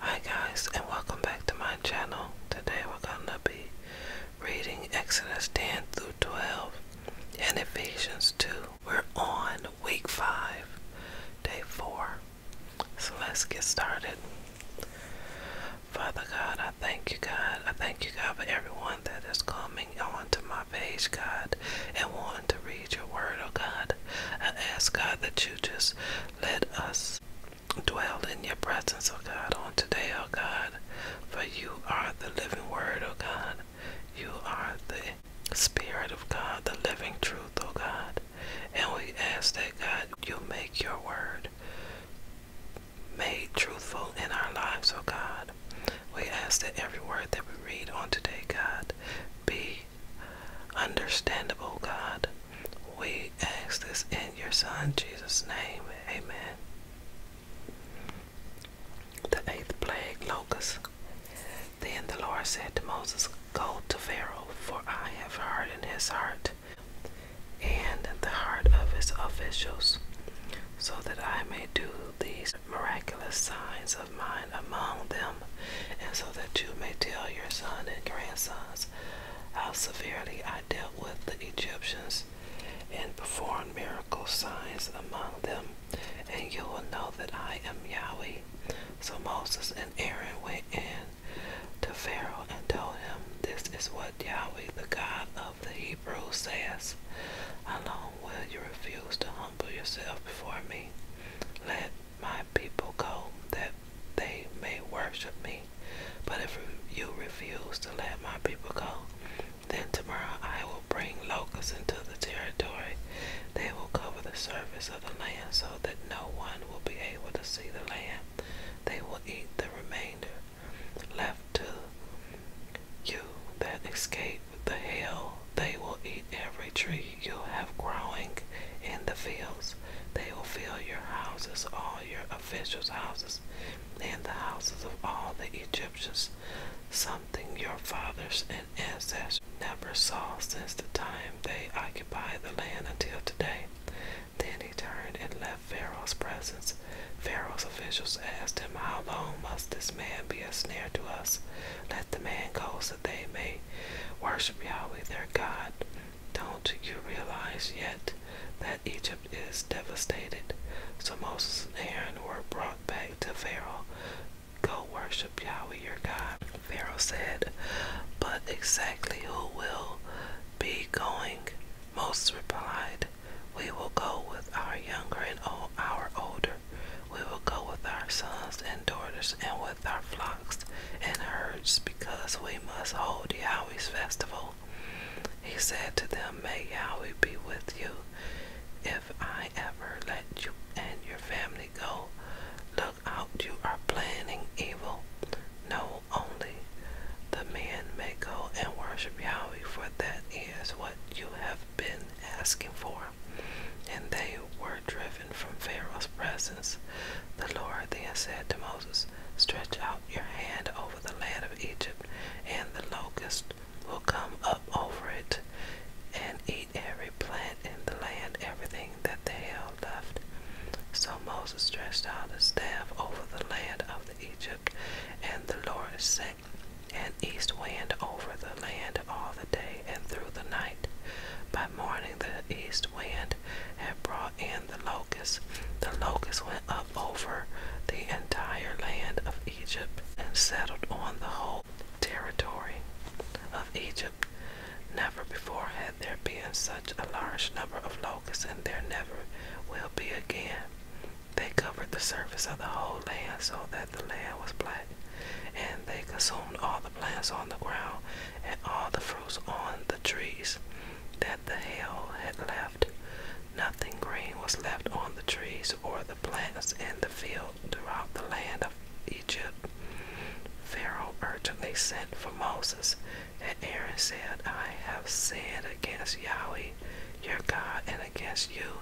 Hi guys and welcome back to my channel. Today we're gonna be reading Exodus 10 through 12 and Ephesians 2. We're on week 5, day 4. So let's get started. Father God, I thank you, God. I thank you, God, for everyone that is coming onto my page, God, and wanting to read your word, oh God. I ask, God, that you just let us house. Dwell in your presence, O God, on today, O God, for you are the living word, O God. You are the Spirit of God, the living truth, O God. And we ask that, God, you make your word made truthful in our lives, O God. We ask that every word that we read on today, God, be understandable, God. We ask this in your Son, Jesus' name. Amen. The eighth plague, locusts. Then the Lord said to Moses, Go to Pharaoh, for I have hardened his heart and the heart of his officials, so that I may do these miraculous signs of mine among them, and so that you may tell your son and grandsons how severely I dealt with the Egyptians and performed miracle signs among them, and you will know that I am Yahweh. So Moses and Aaron went in to Pharaoh and told him, This is what Yahweh, the God of the Hebrews, says. How long will you refuse to humble yourself before me? Let my people go that they may worship me. But if you refuse to let my people go, then tomorrow I will bring locusts into the territory. They will cover the surface of the land so that no one will be able to see the land. They will eat the remainder left to you that escape the hail. They will eat every tree you have growing in the fields. They will fill your houses, all your officials' houses, and the houses of all the Egyptians, something your fathers and ancestors never saw since the time they occupied the land until today. Then he turned and left Pharaoh's presence. Pharaoh's officials asked him, How long must this man be a snare to us? Let the man go so they may worship Yahweh their God. Don't you realize yet that Egypt is devastated? So Moses and Aaron were brought back to Pharaoh. Go worship Yahweh your God. Pharaoh said, But exactly who will be going? Moses replied, We will go with our younger and old, our older. We will go with our sons and and daughters, and with our flocks and herds, because we must hold Yahweh's festival. He said to them, May Yahweh be with you. If I ever let you and your family go, look out, you are planning evil. No, only the man may go and worship Yahweh, for that is what you have been asking for. And they were driven from Pharaoh's presence, the Lord then said to Moses, Stretch out your hand over the land of Egypt, and the locust will come up over it, and eat every plant in the land, everything that the hail left. So Moses stretched out his staff over the land of Egypt, and the Lord sent an east wind over the land all the day and through the night. By morning, the east wind had brought in the locusts. The locusts went up over the entire land of Egypt and settled on the whole territory of Egypt. Never before had there been such a large number of locusts, and there never will be again. They covered the surface of the whole land so that the land was black, and they consumed all the plants on the ground and all the fruits on the trees that the hail had left. Nothing green was left on the trees or the plants in the field throughout the land of Egypt. Pharaoh urgently sent for Moses, and Aaron said, I have sinned against Yahweh, your God, and against you.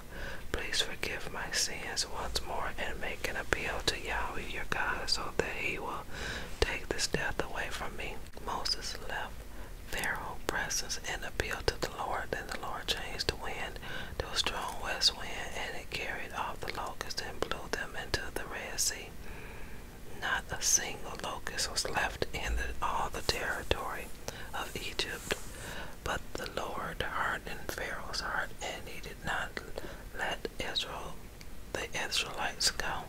Please forgive my sins once more and make an appeal to Yahweh, your God, so that he will take this death away from me. Moses left Pharaoh's presence and appealed to the Lord. Then the Lord changed the wind to a strong west wind, and it carried off the locusts and blew them into the Red Sea. Not a single locust was left in all the territory of Egypt. But the Lord hardened Pharaoh's heart, and he did not let Israel the Israelites go.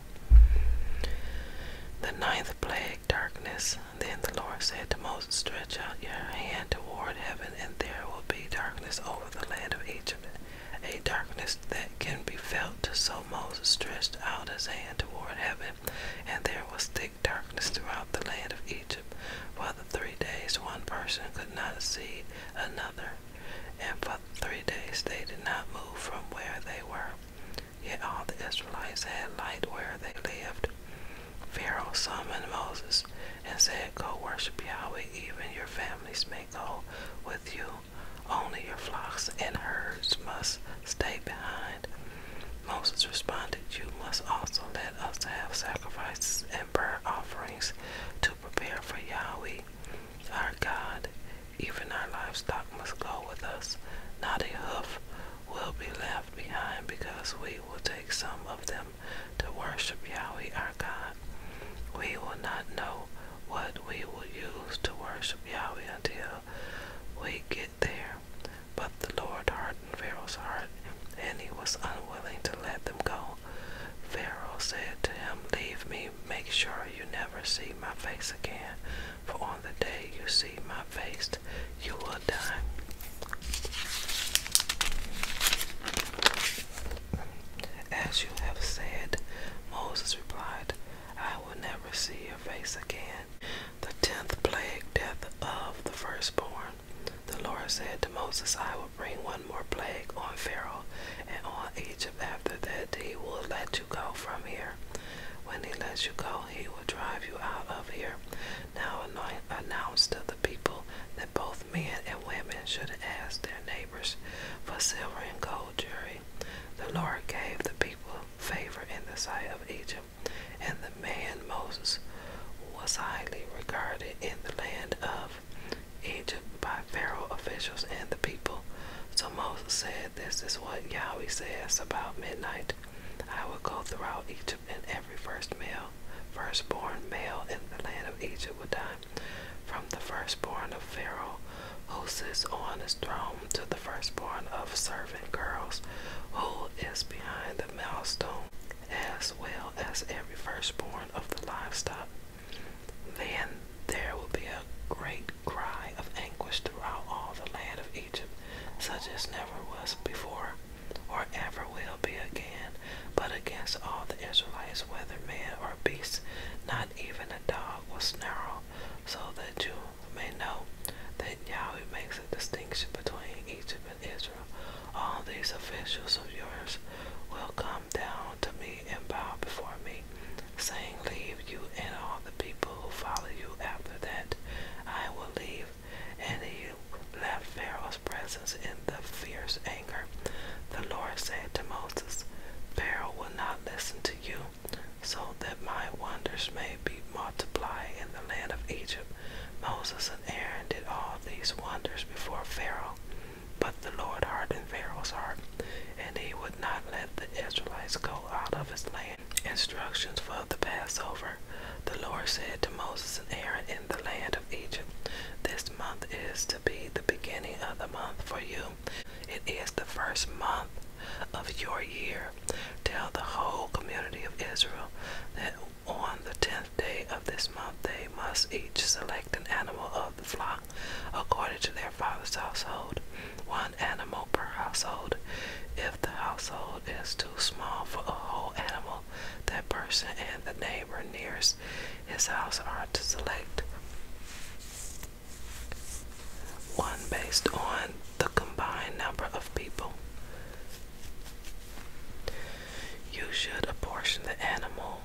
The ninth plague, darkness. Then the Lord said to Moses, Stretch out your hand toward heaven, and there will be darkness over the land of Egypt, a darkness that can be felt. So Moses stretched out his hand toward heaven, and there was thick darkness throughout the land of Egypt. For the three days, one person could not see another and for three days they did not move from where they were. Yet all the Israelites had light where they lived. Pharaoh summoned Moses and said, Go worship Yahweh, even your families may go with you. Only your flocks and herds must stay behind. Moses responded, You must also let us have sacrifices and burnt offerings to prepare for Yahweh our God. Even our livestock must go with us. Not a hoof will be left behind because we will take some of them to worship Yahweh our God. We will not know what we will use to worship Yahweh until we get there. But the Lord hardened Pharaoh's heart, and he was unwilling to let them go. Pharaoh said to him, Leave me, make sure you never see my face again, for on the day you see my face, you will die. As you have said, Moses replied, I will never see your face again. The tenth plague, death of the firstborn. The Lord said to Moses, I will bring one more plague on Pharaoh and all Egypt after that he will let you go from here. When he lets you go, he will drive you out of here. Now anoint announced to the people that both men and women should ask their neighbors for silver and gold jewelry. The Lord gave the people favor in the sight of Egypt, and the man Moses was highly regarded in the land of Egypt by Pharaoh officials and the people. So Moses said, This is what Yahweh says about midnight. I will go throughout Egypt, and every first male, firstborn male in the land of Egypt will die, from the firstborn of Pharaoh, who sits on his throne, to the firstborn of servant girls, who is behind the milestone, as well as every firstborn of the livestock. Then there will be a great cry of anguish throughout all the land of Egypt, such as never was before, or ever will be again, but against all the Israelites, whether man or beast, not even a dog will snarl, so that you may know that Yahweh makes a distinction between Egypt and Israel. All these officials of yours will come down to me and bow before me, saying, Leave you and all the people who follow you. After that, I will leave. And he left Pharaoh's presence in the fierce anger. The Lord said to Moses, Pharaoh will not listen to you, so that my wonders may be multiplied in the land of Egypt. Moses and Aaron did all these wonders before Pharaoh. But the Lord hardened Pharaoh's heart, and he would not let the Israelites go out of his land. Instructions for the Passover. The Lord said to Moses and Aaron in the land of Egypt, This month is to be the beginning of the month for you. It is the first month of your year. Tell the whole community of Israel that on the tenth day of this month they must each select an animal of the flock according to their father's household, one animal per household. If the household is too small for a whole animal, that person and the neighbor nearest his house are to select one based on the combined number of people. You should apportion the animal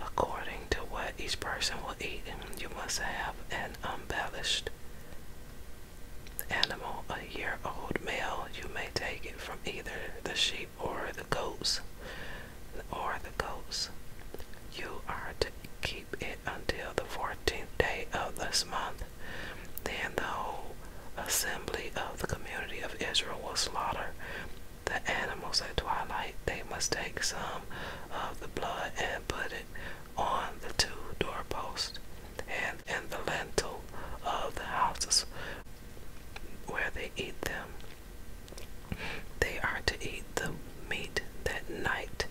according to what each person will eat. You must have an unblemished animal, a year old male. You may take it from either the sheep or the goats, or the goats. You are to keep it until the fourteenth day of this month. Then the whole assembly of the community of Israel will slaughter the animals at twilight. They must take some of the blood and put it on the two doorposts and in the lintel of the houses where they eat them. They are to eat the meat that night.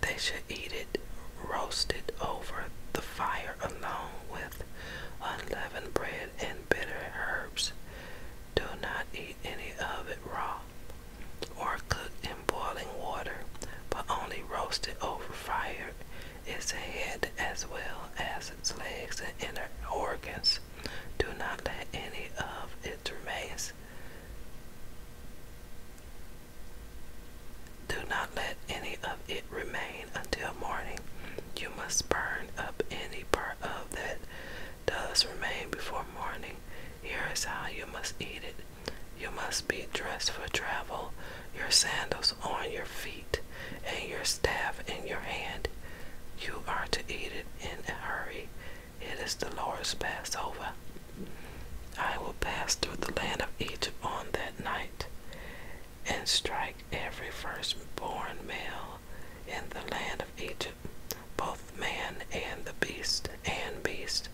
They should eat it roasted over the fire along with unleavened bread and bitter herbs. Do not eat any of it raw, or cooked in boiling water, but only roasted over fire. Its head as well as its legs and inner organs. Do not let any of its remains do not let any of it remain until morning. You must burn up any part of that does remain before morning. Here is how you must eat it. You must be dressed for travel, your sandals on your feet, and your staff in your hand. You are to eat it in a hurry. It is the Lord's Passover. I will pass through the land of Egypt on that night and strike every firstborn male in the land of Egypt, both man and the beast and beast.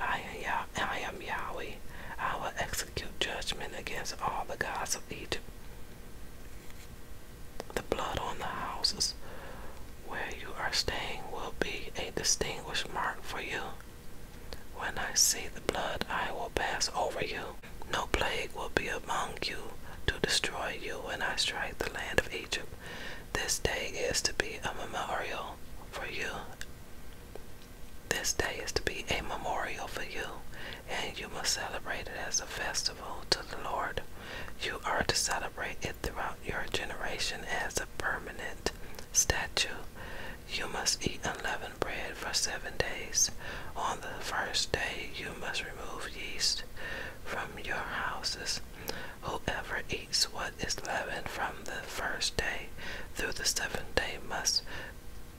I am, Yahweh. I will execute judgment against all the gods of Egypt. The blood on the houses where you are staying will be a distinguished mark for you. When I see the blood, I will pass over you. No plague will be among you to destroy you when I strike the land of Egypt. This day is to be a memorial for you. This day is to be a memorial for you, and you must celebrate it as a festival to the Lord. You are to celebrate it throughout your generation as a permanent statute. You must eat unleavened bread for seven days. On the first day, you must remove yeast from your houses. Whoever eats what is leavened from the first day through the seventh day must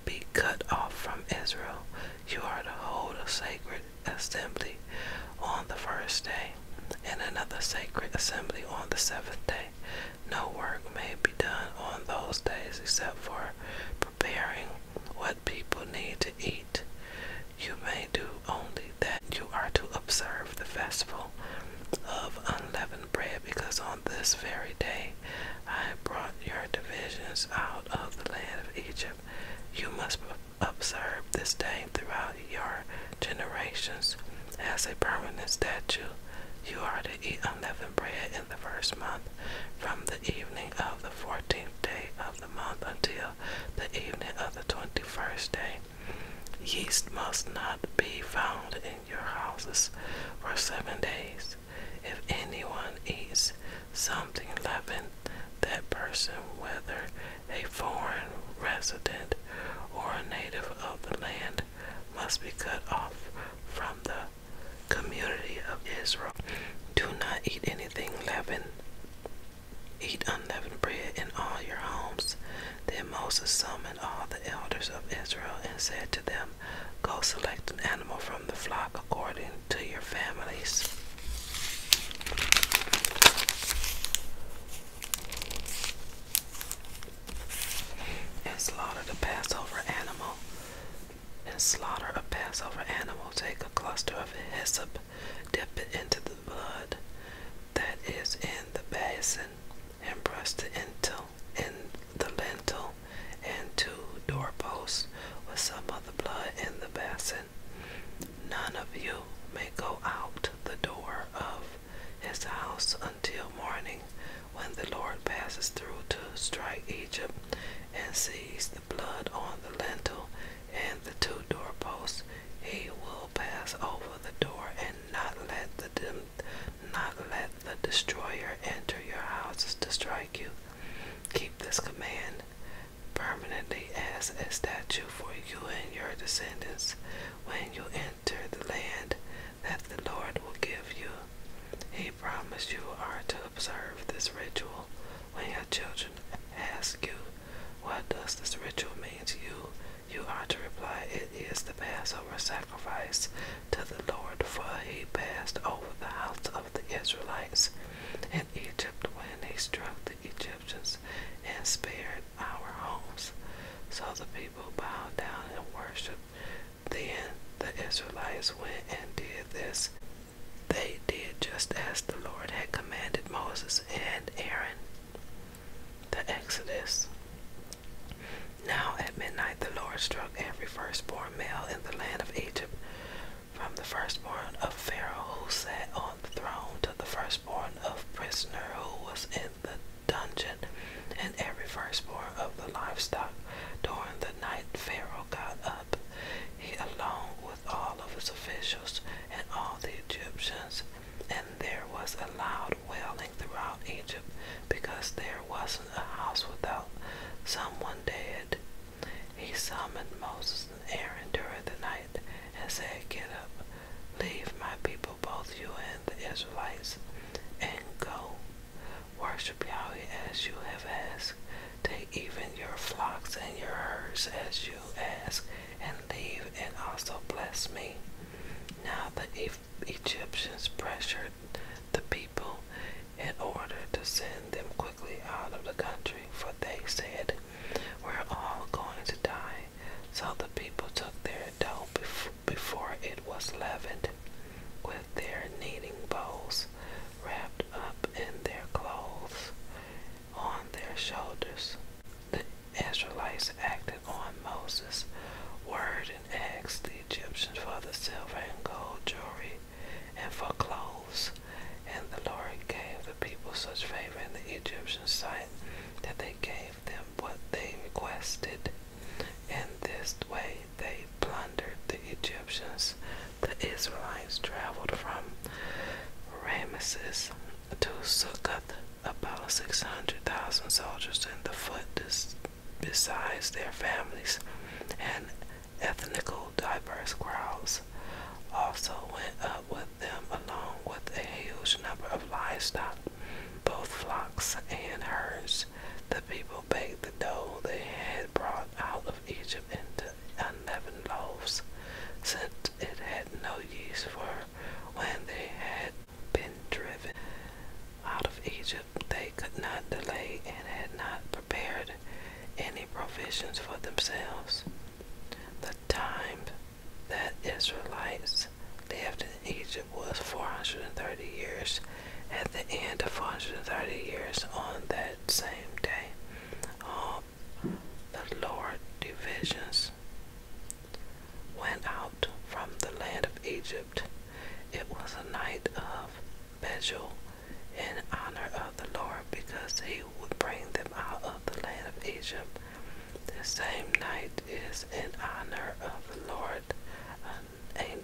be cut off from Israel. You are to hold a sacred assembly on the first day, and another sacred assembly on the seventh day. No work may be done on those days except for preparing what people need to eat. You may do only that you are to observe the festival of unleavened bread, because on this very day I brought your divisions out of the land of Egypt. You must observe this day throughout your generations as a permanent statute. You are to eat unleavened bread in the first month, from the evening of the fourteenth day of the month until the evening of the twenty first day Yeast must not be found in your houses for seven days. If anyone eats something leavened, that person, whether a foreign resident or a native of the land, must be cut off from the community of Israel. Do not eat anything leavened. Eat unleavened bread in all your homes. Then Moses summoned all the elders of Israel and said to them, Go select an animal from the flock according to your families. And slaughter the Passover animal. And slaughter a Passover animal. Take a cluster of hyssop dip it into the blood that is in the basin, and brush the intel the lintel and two doorposts with some of the blood in the basin. None of you may go out the door of his house until morning, when the Lord passes through to strike Egypt, and sees the blood on the lintel and the two doorposts he will pass over the door and not let the not let the destroyer enter your houses to strike you. Keep this command permanently as a statute for you and your descendants when you enter the land that the Lord will give you. He promised you are to observe this ritual when your children ask you, What does this ritual mean to you? You are to reply, It is the Passover sacrifice to the Lord, for he passed over the house of the Israelites in Egypt when he struck the Egyptians and spared our homes. So the people bowed down and worshipped. Then the Israelites went and did this. They did just as the Lord had commanded Moses and Aaron. The Exodus. Now at midnight the Lord struck every firstborn male in the land of Egypt, from the firstborn of Pharaoh who sat on the throne to the firstborn of prisoner who was in the dungeon, and every firstborn of the livestock. During the night Pharaoh got up, he along with all of his officials and all the Egyptians, and there was a loud wailing throughout Egypt because there wasn't a house without someone dead. He summoned Moses and Aaron during the night and said, Get up, leave my people, both you and the Israelites, and go. Worship Yahweh as you have asked. Take even your flocks and your herds as you ask, and leave and also bless me. Now the Egyptians pressured the people in order to send them quickly out of the country, for they said, We're all going to die. So the people took their dough before it was leavened, with their kneading bowls wrapped up in their clothes, on their shoulders. The Israelites acted on Moses' word and asked the Egyptians for the silver and gold jewelry and for clothes. And the Lord gave the people such favor in the Egyptian sight that they gave them what they requested. In this way they plundered the Egyptians. The Israelites traveled from Rameses to Succoth about 600,000 soldiers and the foot besides their families and ethnical diverse crowds also went up with them along with a huge number of livestock, both flocks and herds. The people baked the dough they had brought out of Egypt into unleavened loaves, since it had no yeast for when they had been driven out of Egypt, they could not delay and had not prepared any provisions for themselves. The time that Israelites left Egypt was 430 years. At the end of 430 years, on that same day, all um, the lower divisions went out from the land of Egypt. It was a night of Bejul in honor of the Lord because he would bring them out of the land of Egypt. The same night is in honor of the Lord. A,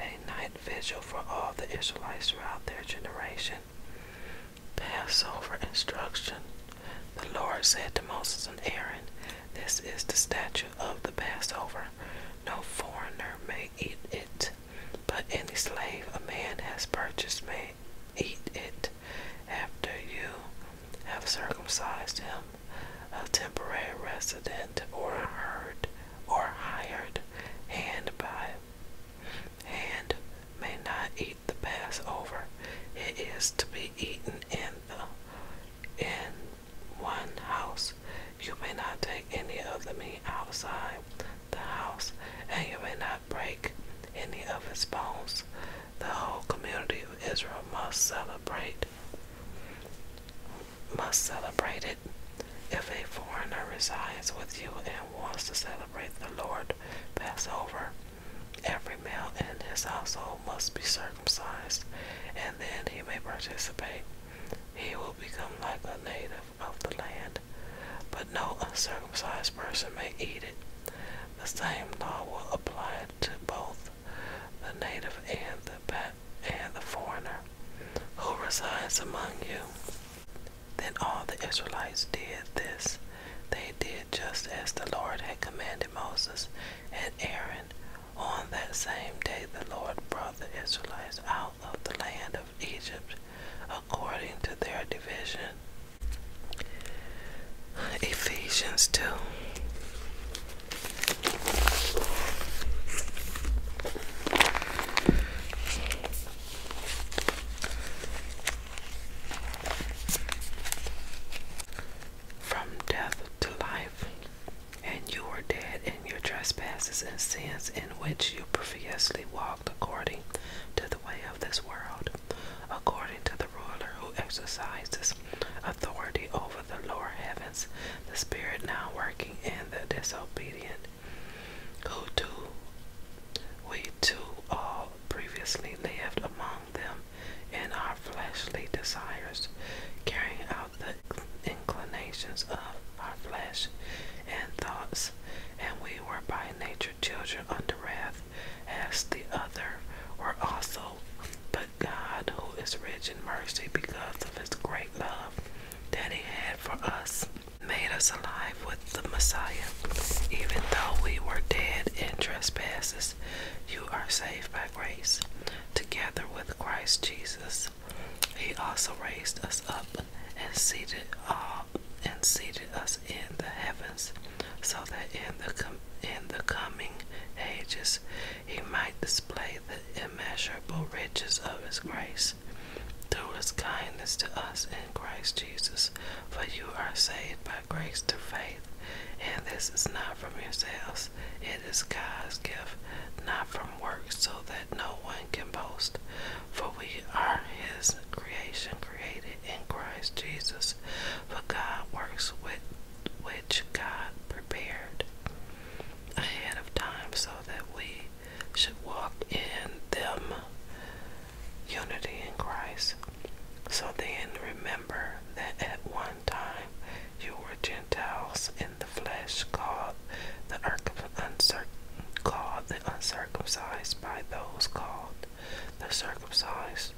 a night vigil for all the Israelites throughout their generation. Passover instruction. The Lord said to Moses and Aaron, This is the statute of the Passover. No foreigner may eat it, but any slave a man has purchased may eat it. After you have circumcised him, a temporary resident or hired or hired hand by and may not eat the Passover. It is to be eaten in the in one house. You may not take any of the meat outside the house, and you may not break any of its bones. The whole community of Israel must celebrate must celebrate it. If a foreigner resides with you and wants to celebrate the Lord Passover. Every male in his household must be circumcised, and then he may participate. He will become like a native of the land, but no uncircumcised person may eat it. The same law will apply to both the native and the and the foreigner who resides among you. Then all the Israelites did this. They did just as the Lord had commanded Moses and Aaron. On that same day, the Lord brought the Israelites out of the land of Egypt according to their division. Ephesians 2. From death to life, and you were dead in your trespasses and sins, in which you previously walked according to the way of this world, according to the ruler who exercises authority over the lower heavens, the spirit now working in the disobedient who do we too all previously lived among them in our fleshly desires, carrying out the inclinations of our flesh and thoughts, and we were by nature children under wrath, as the other were also. But God, who is rich in mercy because of his great love that he had for us, made us alive with the Messiah. Even though we were dead in trespasses, you are saved by grace, together with Christ Jesus. He also raised us up and seated all uh, and seated us in the heavens, so that in the in the coming ages he might display the immeasurable riches of his grace through his kindness to us in Christ Jesus. For you are saved by grace through faith, and this is not from yourselves, it is God's gift, not from works, so that no one can boast. For we are His creation, created in Christ Jesus, for God works with which God prepared ahead of time so that we should walk in them unity in Christ. So then remember that at one time you were Gentiles in the flesh, called the, uncirc called the uncircumcised by those called the circumcised,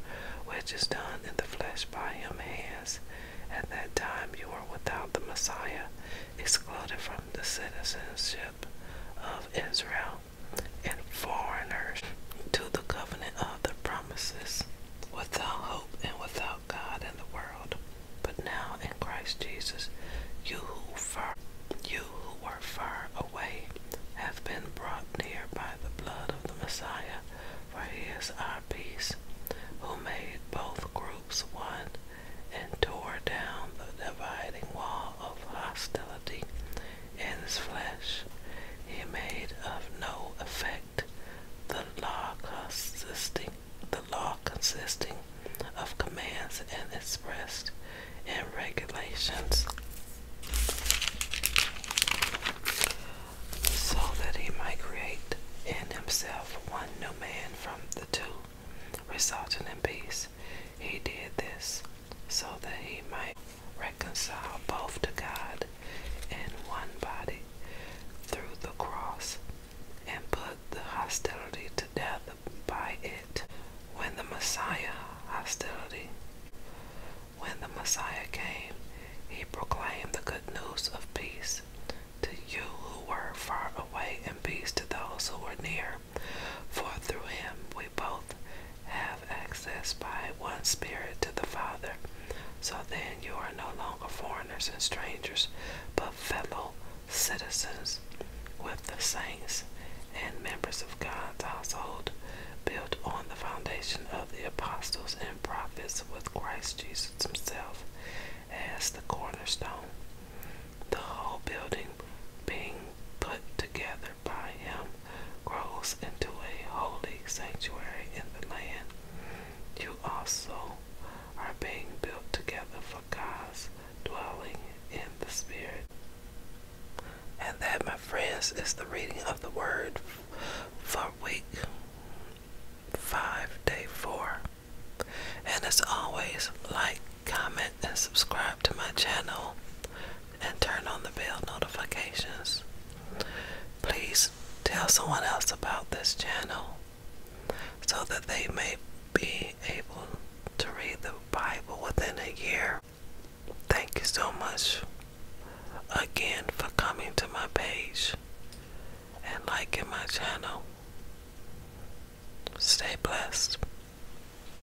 which is done in the flesh by him hands. At that time you were without the Messiah, excluded from the citizenship of Israel, and foreigners to the covenant of the promises, without hope and without God in the world. But now in Christ Jesus, you who were far away, have been brought near by the blood of the Messiah, for he is our peace, who made both groups one and tore down the dividing wall of hostility in his flesh. He made of no effect the law consisting of commands and expressed in regulations so that he might create in himself one new man from the two resulting in peace. He did this so that he might reconcile both to God in one body through the cross, and put the hostility to death by it. When the Messiah hostility, when the Messiah came, he proclaimed the good news of peace to you who were far away and peace to those who were near. For through him we both have access by one Spirit to the Father. So then you are no longer foreigners and strangers, but fellow citizens with the saints and members of God's household, built on the foundation of the apostles and prophets, with Christ Jesus Himself as the cornerstone. The whole building being put together by him grows into a holy sanctuary in the land. You also are being built together for God's dwelling in the Spirit. And that, my friends, is the reading of the Word for week 5, day 4. And as always, like, comment, and subscribe to my channel and turn on the bell notifications. Please tell someone else about this channel so that they may be able to read the Bible within a year. Thank you so much again for coming to my page and liking my channel. Stay blessed.